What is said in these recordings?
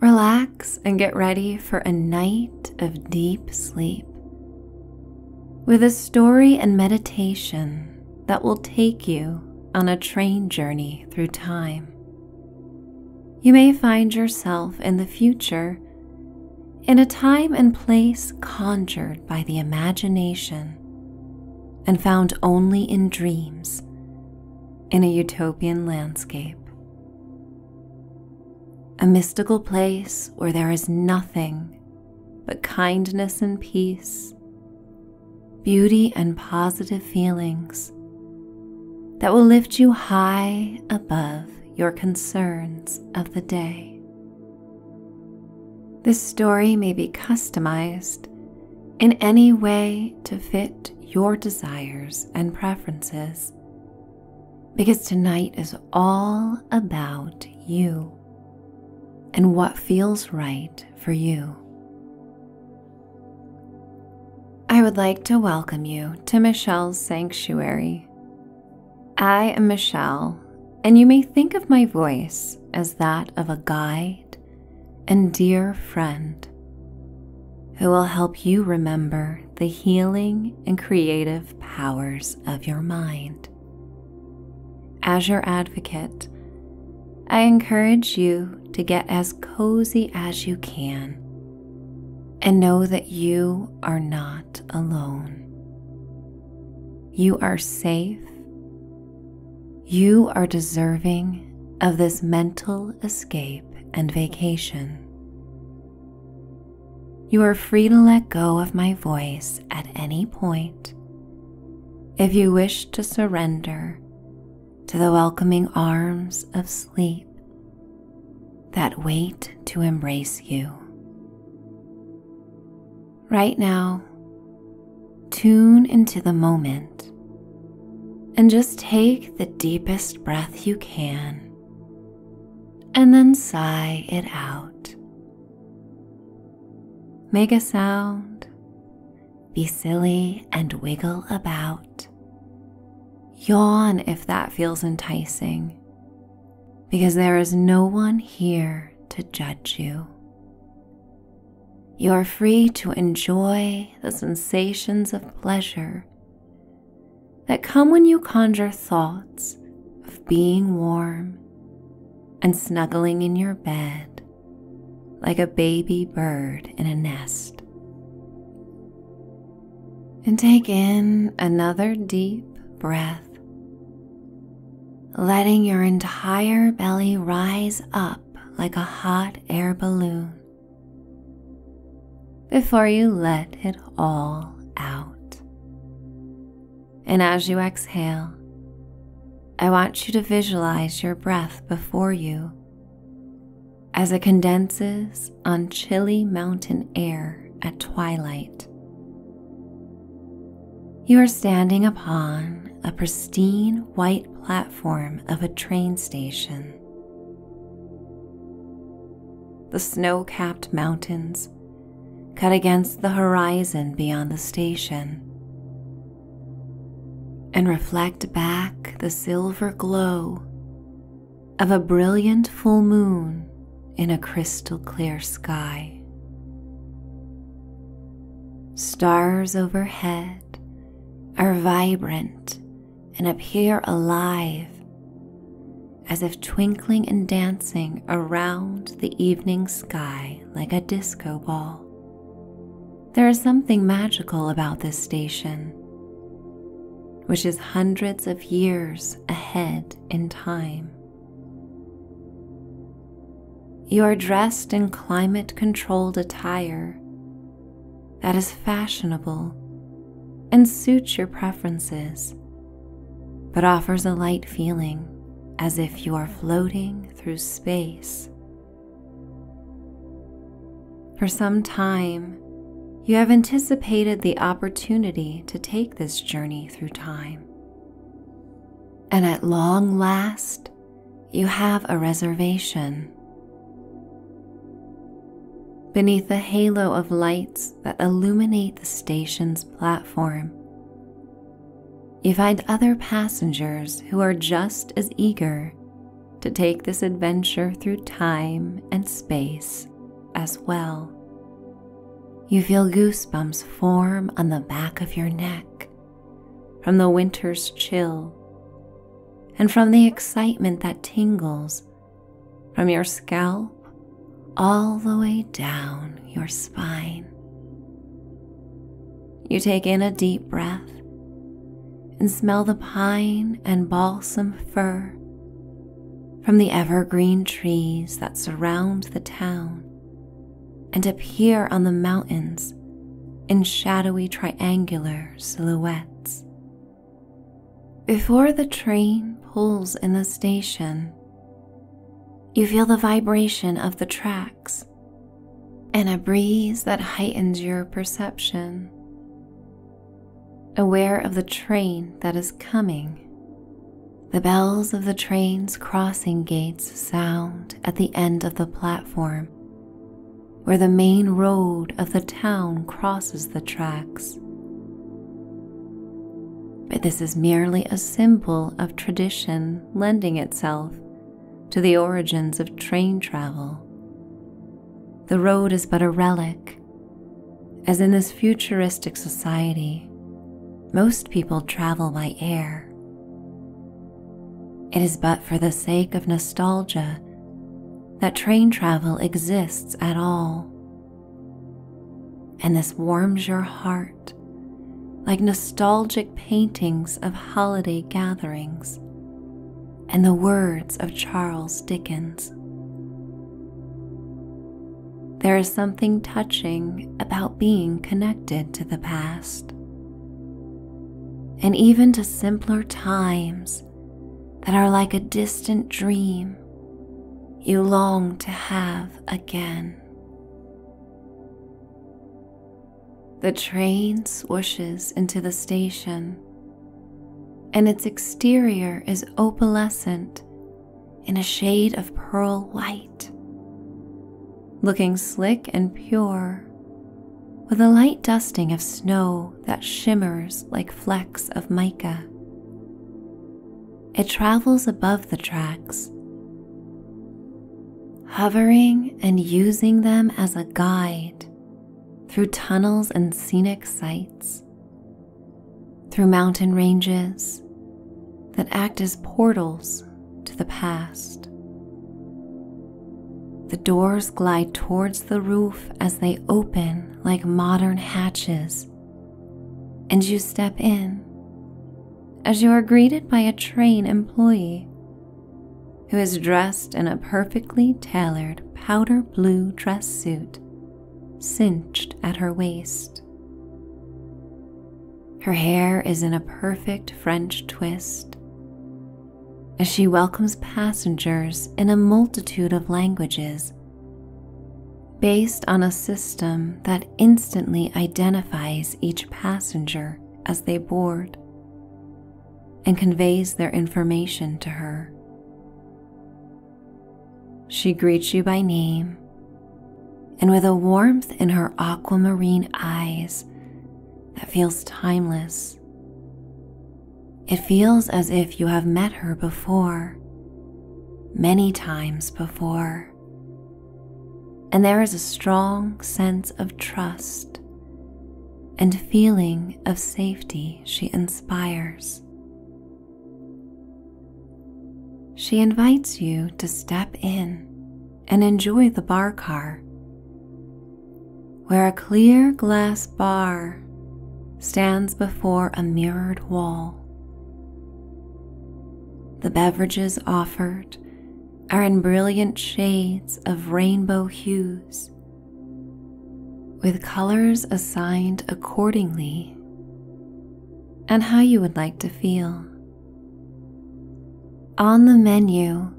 Relax and get ready for a night of deep sleep with a story and meditation that will take you on a train journey through time. You may find yourself in the future in a time and place conjured by the imagination and found only in dreams in a utopian landscape. A mystical place where there is nothing but kindness and peace, beauty and positive feelings that will lift you high above your concerns of the day. This story may be customized in any way to fit your desires and preferences. Because tonight is all about you and what feels right for you. I would like to welcome you to Michelle's Sanctuary. I am Michelle, and you may think of my voice as that of a guide and dear friend who will help you remember the healing and creative powers of your mind. As your advocate, I encourage you to get as cozy as you can and know that you are not alone. You are safe. You are deserving of this mental escape, and vacation. You are free to let go of my voice at any point if you wish to surrender to the welcoming arms of sleep that wait to embrace you. Right now, tune into the moment and just take the deepest breath you can and then sigh it out. Make a sound, be silly and wiggle about. Yawn if that feels enticing, because there is no one here to judge you. You're free to enjoy the sensations of pleasure that come when you conjure thoughts of being warm and snuggling in your bed like a baby bird in a nest. And take in another deep breath, letting your entire belly rise up like a hot air balloon before you let it all out. And as you exhale, I want you to visualize your breath before you as it condenses on chilly mountain air at twilight. You are standing upon a pristine white platform of a train station. The snow capped mountains cut against the horizon beyond the station and reflect back the silver glow of a brilliant full moon in a crystal clear sky. Stars overhead are vibrant and appear alive, as if twinkling and dancing around the evening sky like a disco ball. There is something magical about this station, which is hundreds of years ahead in time. You are dressed in climate controlled attire that is fashionable and suits your preferences, but offers a light feeling as if you are floating through space. For some time, you have anticipated the opportunity to take this journey through time. And at long last, you have a reservation. Beneath the halo of lights that illuminate the station's platform, you find other passengers who are just as eager to take this adventure through time and space as well. You feel goosebumps form on the back of your neck from the winter's chill and from the excitement that tingles from your scalp all the way down your spine. You take in a deep breath and smell the pine and balsam fir from the evergreen trees that surround the town and appear on the mountains in shadowy triangular silhouettes. Before the train pulls in the station, you feel the vibration of the tracks and a breeze that heightens your perception. Aware of the train that is coming, the bells of the train's crossing gates sound at the end of the platform where the main road of the town crosses the tracks. But this is merely a symbol of tradition lending itself to the origins of train travel. The road is but a relic, as in this futuristic society, most people travel by air. It is but for the sake of nostalgia that train travel exists at all. And this warms your heart like nostalgic paintings of holiday gatherings and the words of Charles Dickens. There is something touching about being connected to the past. And even to simpler times that are like a distant dream you long to have again. The train swooshes into the station, and its exterior is opalescent in a shade of pearl white, looking slick and pure with a light dusting of snow that shimmers like flecks of mica. It travels above the tracks, hovering and using them as a guide through tunnels and scenic sights, through mountain ranges that act as portals to the past. The doors glide towards the roof as they open like modern hatches, and you step in as you are greeted by a train employee who is dressed in a perfectly tailored powder blue dress suit cinched at her waist. Her hair is in a perfect French twist as she welcomes passengers in a multitude of languages based on a system that instantly identifies each passenger as they board and conveys their information to her. She greets you by name, and with a warmth in her aquamarine eyes that feels timeless, it feels as if you have met her before, many times before, and there is a strong sense of trust and feeling of safety she inspires. She invites you to step in and enjoy the bar car where a clear glass bar stands before a mirrored wall. The beverages offered are in brilliant shades of rainbow hues, with colors assigned accordingly and how you would like to feel. On the menu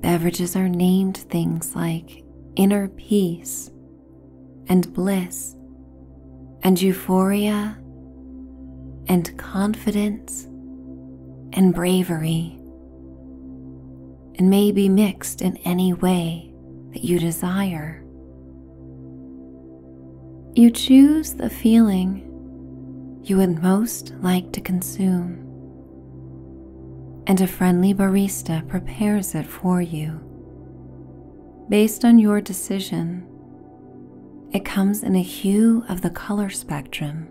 Beverages are named things like inner peace and bliss and euphoria and confidence and bravery and may be mixed in any way that you desire. You choose the feeling you would most like to consume and a friendly barista prepares it for you. Based on your decision, it comes in a hue of the color spectrum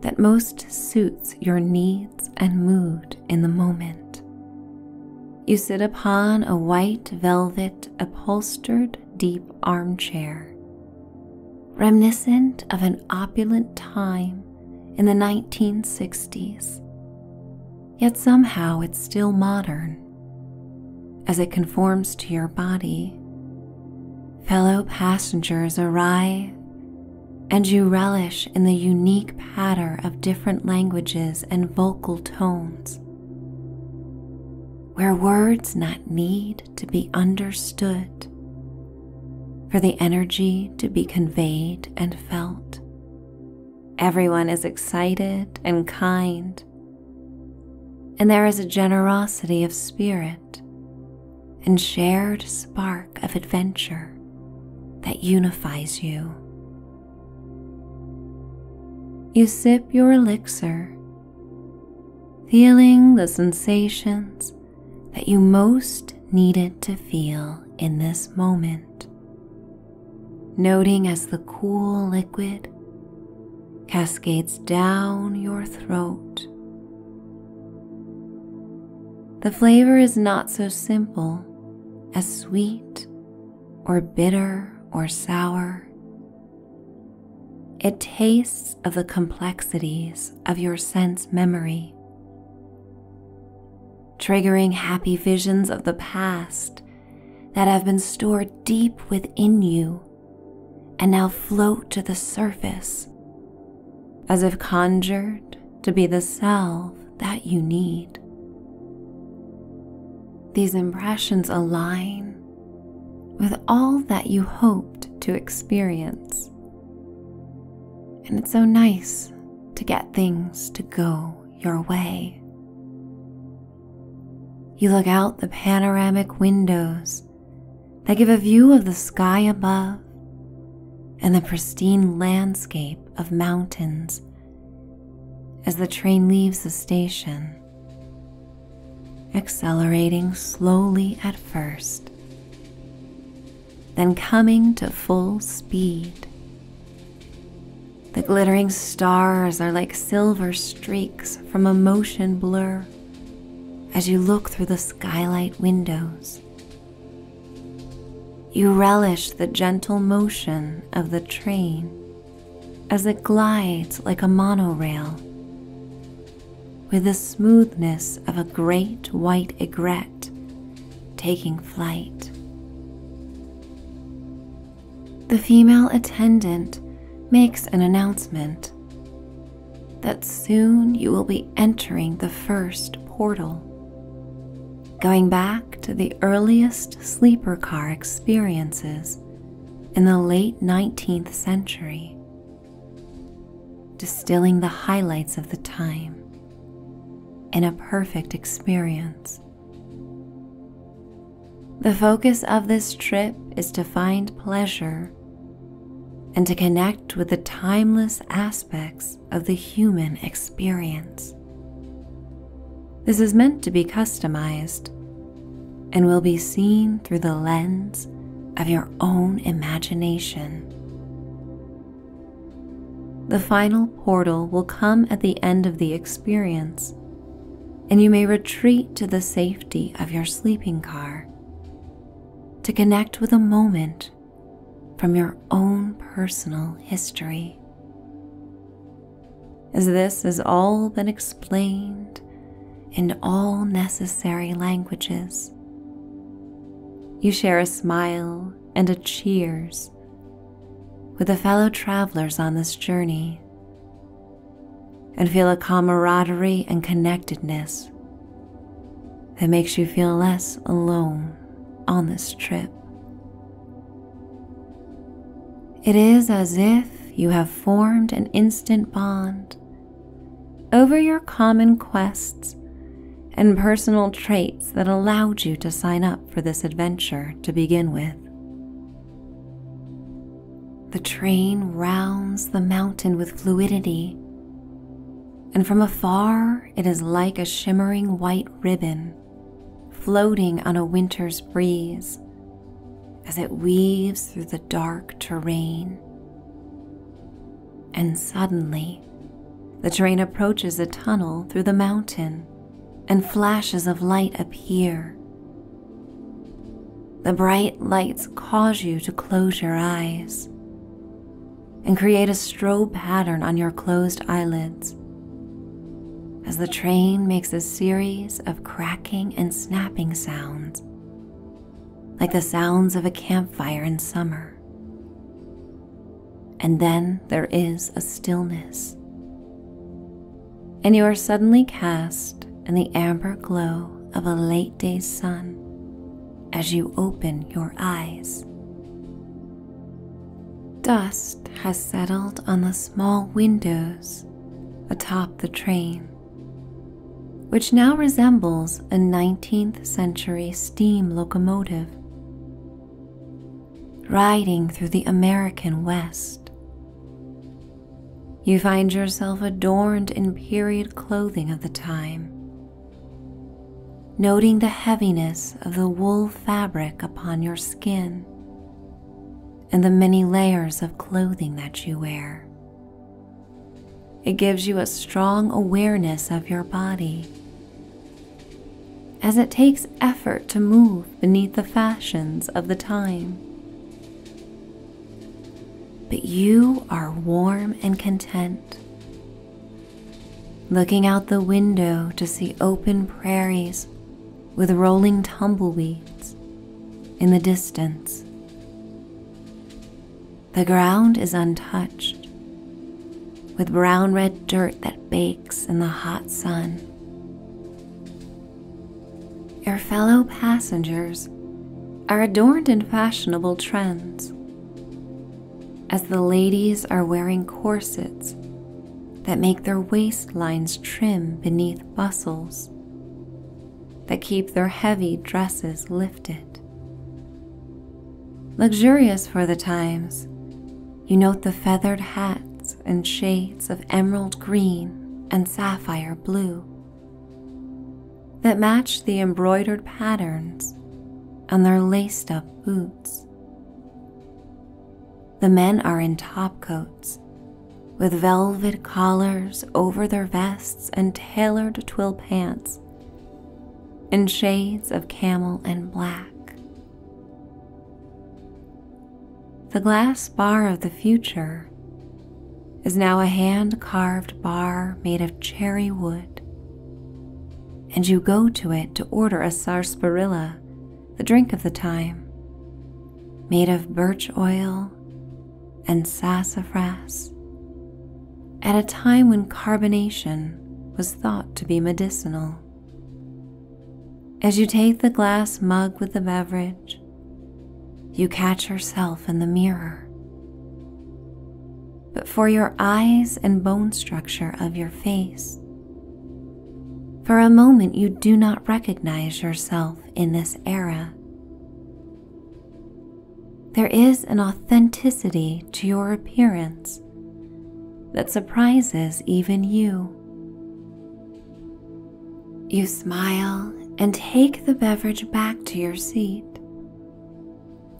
that most suits your needs and mood in the moment. You sit upon a white velvet upholstered deep armchair, reminiscent of an opulent time in the 1960s, yet somehow it's still modern as it conforms to your body. Fellow passengers arrive, and you relish in the unique patter of different languages and vocal tones, where words not need to be understood for the energy to be conveyed and felt. Everyone is excited and kind, and there is a generosity of spirit and shared spark of adventure that unifies you. You sip your elixir, feeling the sensations that you most needed to feel in this moment. Noting as the cool liquid cascades down your throat. The flavor is not so simple as sweet or bitter or sour. It tastes of the complexities of your sense memory triggering happy visions of the past that have been stored deep within you and now float to the surface as if conjured to be the self that you need. These impressions align with all that you hoped to experience and it's so nice to get things to go your way. You look out the panoramic windows that give a view of the sky above and the pristine landscape of mountains as the train leaves the station, accelerating slowly at first, then coming to full speed. The glittering stars are like silver streaks from a motion blur as you look through the skylight windows. You relish the gentle motion of the train as it glides like a monorail with the smoothness of a great white aigrette taking flight. The female attendant makes an announcement that soon you will be entering the first portal, going back to the earliest sleeper car experiences in the late 19th century, distilling the highlights of the time in a perfect experience. The focus of this trip is to find pleasure and to connect with the timeless aspects of the human experience. This is meant to be customized and will be seen through the lens of your own imagination. The final portal will come at the end of the experience, and you may retreat to the safety of your sleeping car to connect with a moment from your own personal history. As this has all been explained in all necessary languages, you share a smile and a cheers with the fellow travelers on this journey and feel a camaraderie and connectedness that makes you feel less alone on this trip. It is as if you have formed an instant bond over your common quests and personal traits that allowed you to sign up for this adventure to begin with. The train rounds the mountain with fluidity, and from afar it is like a shimmering white ribbon floating on a winter's breeze as it weaves through the dark terrain. And suddenly, the train approaches a tunnel through the mountain, and flashes of light appear. The bright lights cause you to close your eyes and create a strobe pattern on your closed eyelids as the train makes a series of cracking and snapping sounds, like the sounds of a campfire in summer and then there is a stillness. And you are suddenly cast in the amber glow of a late day sun as you open your eyes. Dust has settled on the small windows atop the train, which now resembles a 19th century steam locomotive Riding through the American West, you find yourself adorned in period clothing of the time, noting the heaviness of the wool fabric upon your skin and the many layers of clothing that you wear. It gives you a strong awareness of your body. As it takes effort to move beneath the fashions of the time. But you are warm and content, looking out the window to see open prairies with rolling tumbleweeds in the distance. The ground is untouched, with brown red dirt that bakes in the hot sun. Your fellow passengers are adorned in fashionable trends, as the ladies are wearing corsets that make their waistlines trim beneath bustles that keep their heavy dresses lifted luxurious for the times. You note the feathered hats in shades of emerald green and sapphire blue that match the embroidered patterns on their laced up boots. The men are in topcoats with velvet collars over their vests and tailored twill pants in shades of camel and black. The glass bar of the future is now a hand carved bar made of cherry wood, and you go to it to order a sarsaparilla, the drink of the time, made of birch oil and sassafras at a time when carbonation was thought to be medicinal. As you take the glass mug with the beverage, you catch yourself in the mirror. But for your eyes and bone structure of your face, for a moment you do not recognize yourself in this era. There is an authenticity to your appearance that surprises even you. You smile and take the beverage back to your seat,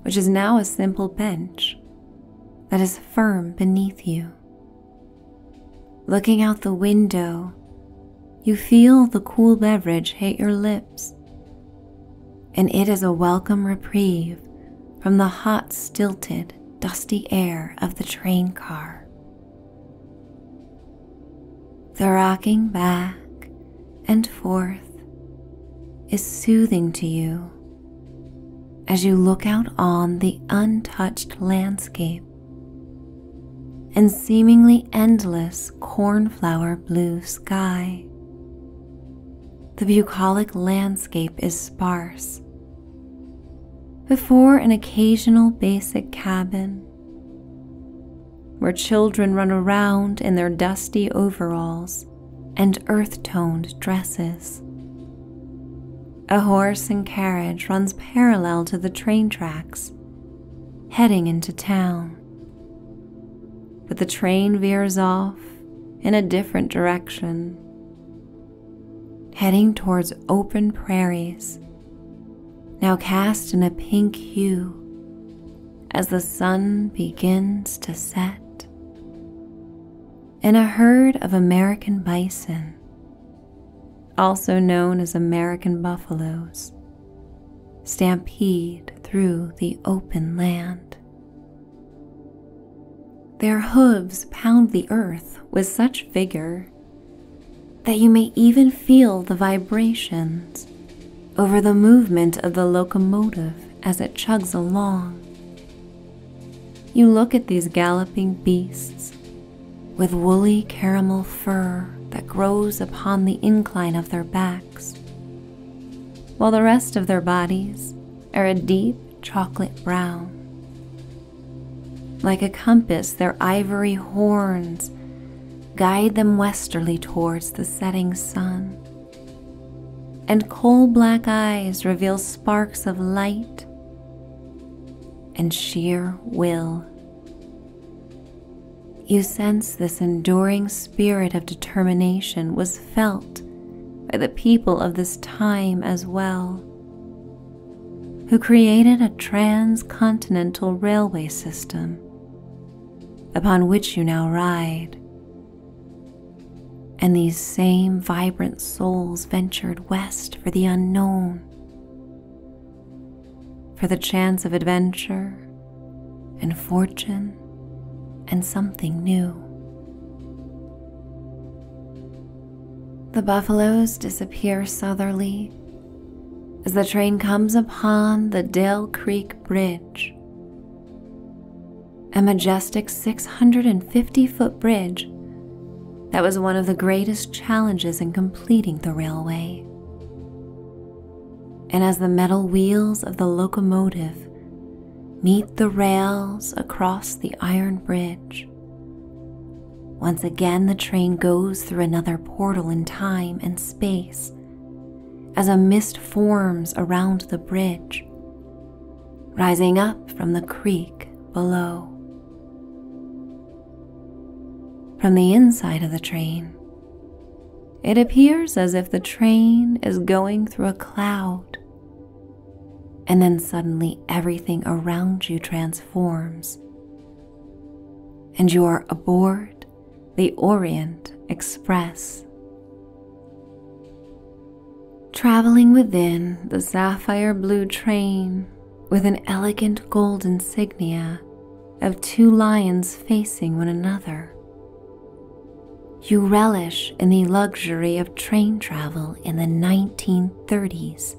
which is now a simple bench that is firm beneath you. Looking out the window, you feel the cool beverage hit your lips and it is a welcome reprieve from the hot, stilted, dusty air of the train car. The rocking back and forth is soothing to you as you look out on the untouched landscape and seemingly endless cornflower blue sky the bucolic landscape is sparse. Before an occasional basic cabin, where children run around in their dusty overalls and earth toned dresses. A horse and carriage runs parallel to the train tracks, heading into town but the train veers off in a different direction, heading towards open prairies, now cast in a pink hue as the sun begins to set. And a herd of American bison, also known as American buffaloes, stampede through the open land. Their hooves pound the earth with such vigor that you may even feel the vibrations over the movement of the locomotive as it chugs along. You look at these galloping beasts with woolly caramel fur that grows upon the incline of their backs, while the rest of their bodies are a deep chocolate brown. Like a compass, their ivory horns guide them westerly towards the setting sun. And coal black eyes reveal sparks of light and sheer will. You sense this enduring spirit of determination was felt by the people of this time as well, who created a transcontinental railway system upon which you now ride. And these same vibrant souls ventured west for the unknown, for the chance of adventure and fortune and something new. The buffaloes disappear southerly as the train comes upon the Dale Creek Bridge, a majestic 650 foot bridge that was one of the greatest challenges in completing the railway. And as the metal wheels of the locomotive meet the rails across the iron bridge. Once again, the train goes through another portal in time and space as a mist forms around the bridge, rising up from the creek below. From the inside of the train, it appears as if the train is going through a cloud and then suddenly everything around you transforms, and you are aboard the Orient Express. Traveling within the sapphire blue train with an elegant gold insignia of two lions facing one another. You relish in the luxury of train travel in the 1930s.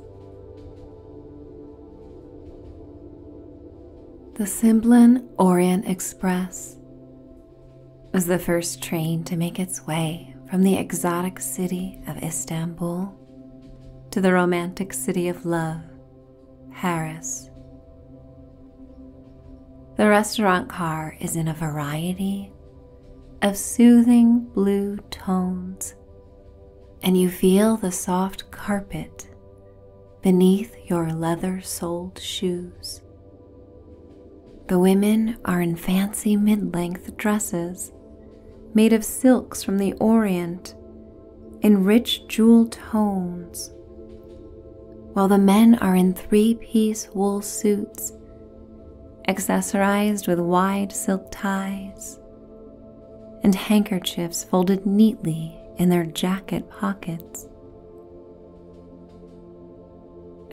The Simplon Orient Express was the first train to make its way from the exotic city of Istanbul to the romantic city of love, Paris, the restaurant car is in a variety of soothing blue tones, and you feel the soft carpet beneath your leather soled shoes. The women are in fancy mid length dresses made of silks from the Orient in rich jewel tones, while the men are in three piece wool suits accessorized with wide silk ties and handkerchiefs folded neatly in their jacket pockets.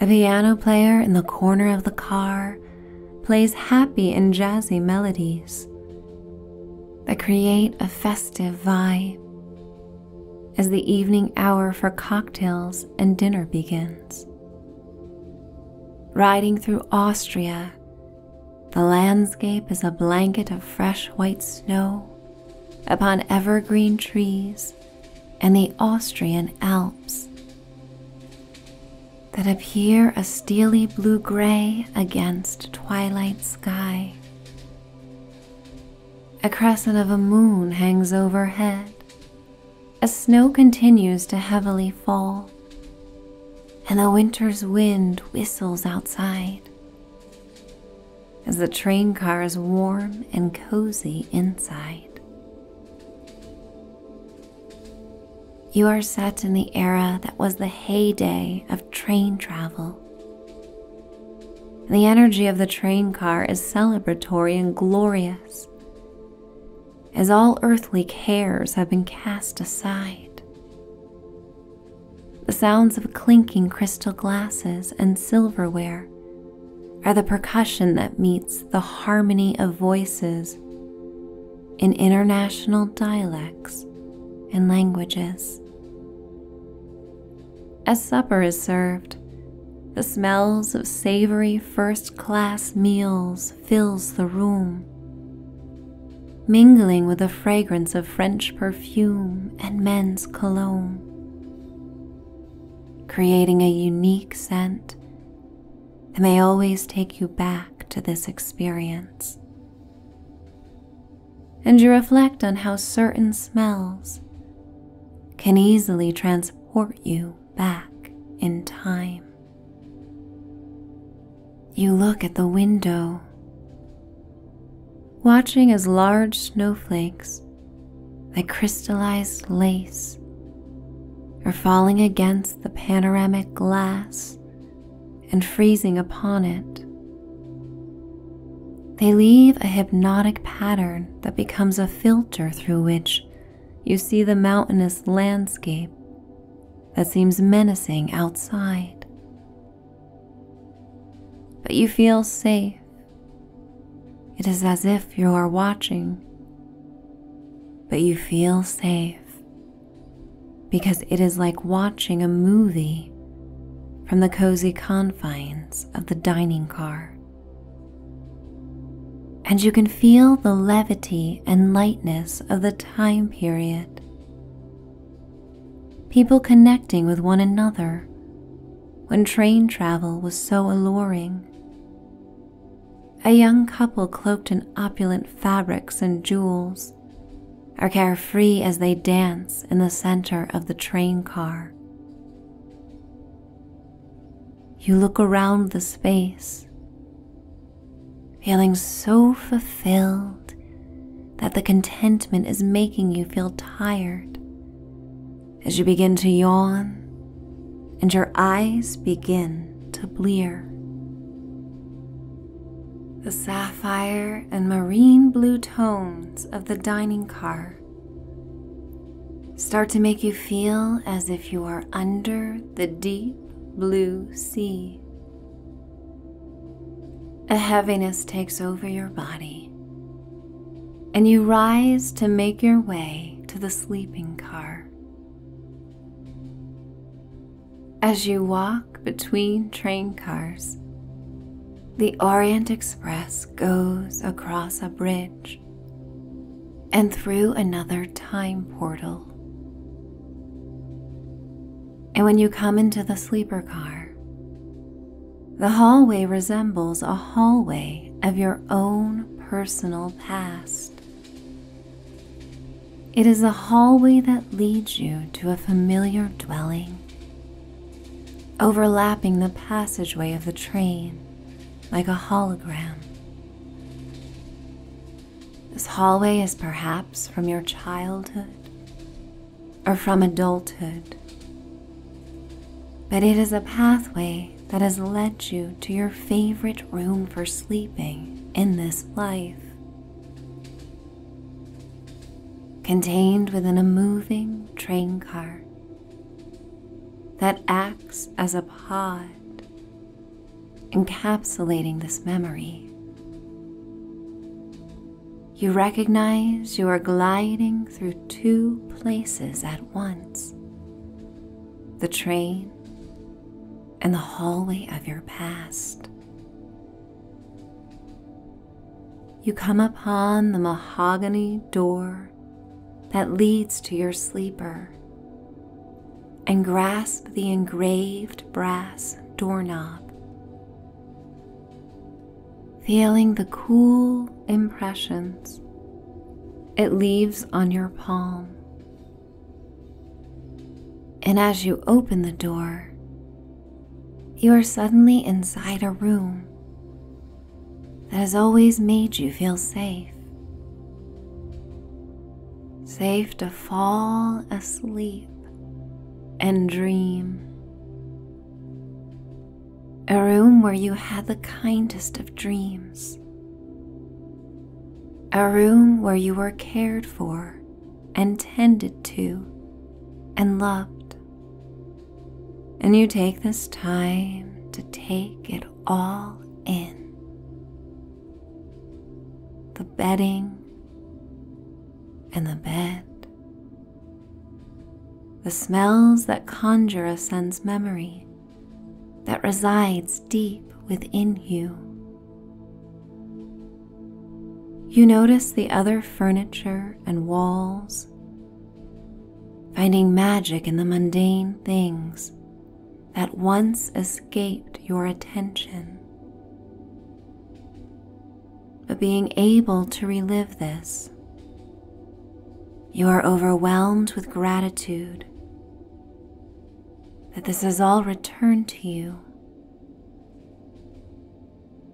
A piano player in the corner of the car plays happy and jazzy melodies that create a festive vibe as the evening hour for cocktails and dinner begins. Riding through Austria, the landscape is a blanket of fresh white snow upon evergreen trees and the Austrian Alps that appear a steely blue gray against twilight sky. A crescent of a moon hangs overhead as snow continues to heavily fall and the winter's wind whistles outside. As the train car is warm and cozy inside, you are set in the era that was the heyday of train travel the energy of the train car is celebratory and glorious, as all earthly cares have been cast aside. The sounds of clinking crystal glasses and silverware are the percussion that meets the harmony of voices in international dialects and languages. As supper is served, the smells of savory first class meals fills the room, mingling with the fragrance of French perfume and men's cologne, creating a unique scent that may always take you back to this experience. And you reflect on how certain smells can easily transport you back in time. You look at the window, watching as large snowflakes like crystallized lace are falling against the panoramic glass and freezing upon it. They leave a hypnotic pattern that becomes a filter through which you see the mountainous landscape that seems menacing outside. But you feel safe. It is as if you are watching, but you feel safe because it is like watching a movie from the cozy confines of the dining car and you can feel the levity and lightness of the time period. People connecting with one another when train travel was so alluring. A young couple cloaked in opulent fabrics and jewels are carefree as they dance in the center of the train car. You look around the space, feeling so fulfilled that the contentment is making you feel tired as you begin to yawn and your eyes begin to blear. The sapphire and marine blue tones of the dining car start to make you feel as if you are under the deep blue sea. A heaviness takes over your body, and you rise to make your way to the sleeping car. As you walk between train cars, the Orient Express goes across a bridge and through another time portal. And when you come into the sleeper car, the hallway resembles a hallway of your own personal past. It is a hallway that leads you to a familiar dwelling, overlapping the passageway of the train like a hologram. This hallway is perhaps from your childhood or from adulthood, but it is a pathway that has led you to your favorite room for sleeping in this life. Contained within a moving train car that acts as a pod encapsulating this memory. You recognize you are gliding through two places at once the train and the hallway of your past. You come upon the mahogany door that leads to your sleeper and grasp the engraved brass doorknob. Feeling the cool impressions it leaves on your palm. And as you open the door, you are suddenly inside a room that has always made you feel safe. Safe to fall asleep and dream. A room where you had the kindest of dreams. A room where you were cared for and tended to and loved. And you take this time to take it all in the bedding and the bed, the smells that conjure a sense memory that resides deep within you. You notice the other furniture and walls finding magic in the mundane things that once escaped your attention. But being able to relive this, you are overwhelmed with gratitude that this has all returned to you.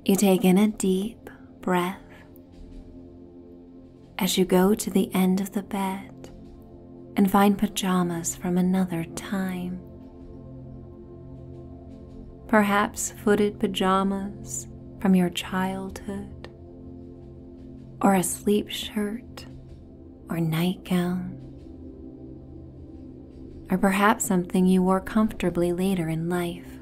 You take in a deep breath as you go to the end of the bed and find pajamas from another time, perhaps footed pajamas from your childhood, or a sleep shirt or nightgown, or perhaps something you wore comfortably later in life.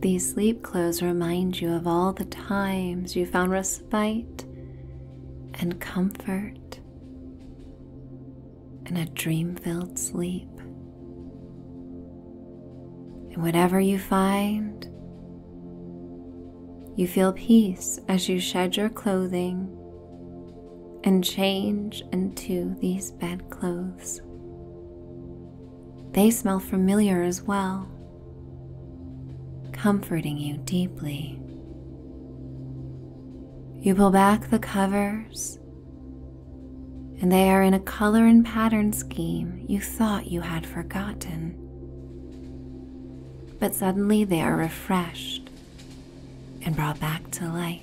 These sleep clothes remind you of all the times you found respite and comfort in a dream filled sleep. And whatever you find, you feel peace as you shed your clothing and change into these bed clothes. They smell familiar as well, comforting you deeply. You pull back the covers, and they are in a color and pattern scheme you thought you had forgotten. But suddenly they are refreshed and brought back to life.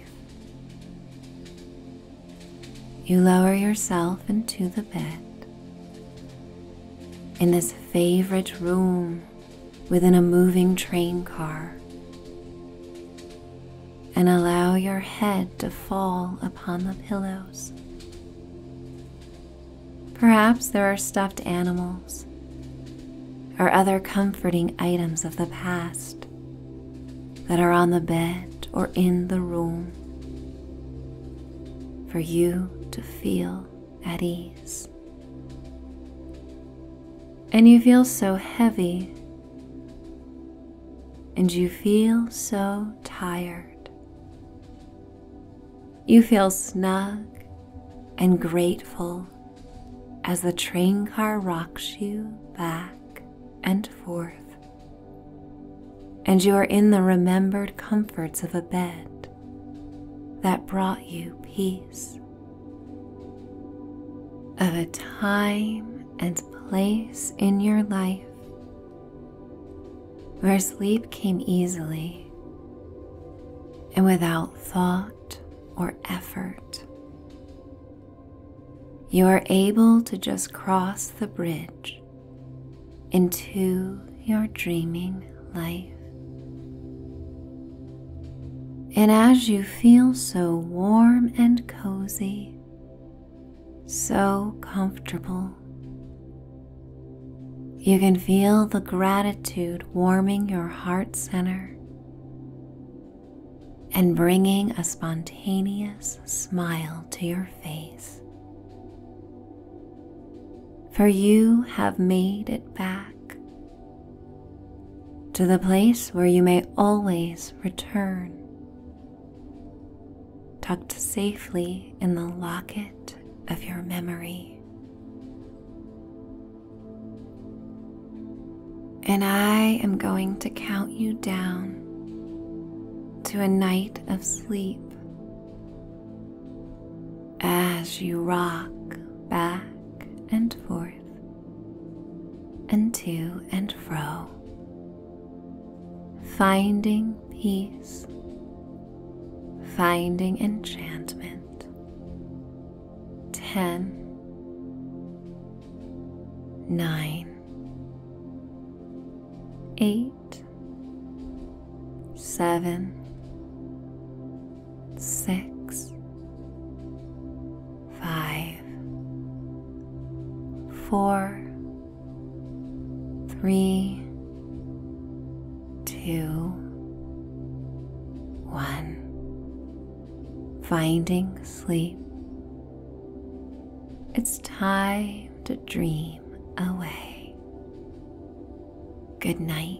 You lower yourself into the bed. In this favorite room within a moving train car, and allow your head to fall upon the pillows. Perhaps there are stuffed animals or other comforting items of the past that are on the bed or in the room for you to feel at ease. And you feel so heavy, and you feel so tired. You feel snug and grateful as the train car rocks you back and forth and you are in the remembered comforts of a bed that brought you peace, of a time and place in your life where sleep came easily and without thought or effort. You are able to just cross the bridge into your dreaming life. And as you feel so warm and cozy, so comfortable, you can feel the gratitude warming your heart center and bringing a spontaneous smile to your face. For you have made it back to the place where you may always return, tucked safely in the locket of your memory. And I am going to count you down to a night of sleep as you rock back and forth and to and fro, finding peace, finding enchantment. 10 8 eight, seven, six, five, four, three, two, one. Finding sleep. It's time to dream away. Good night.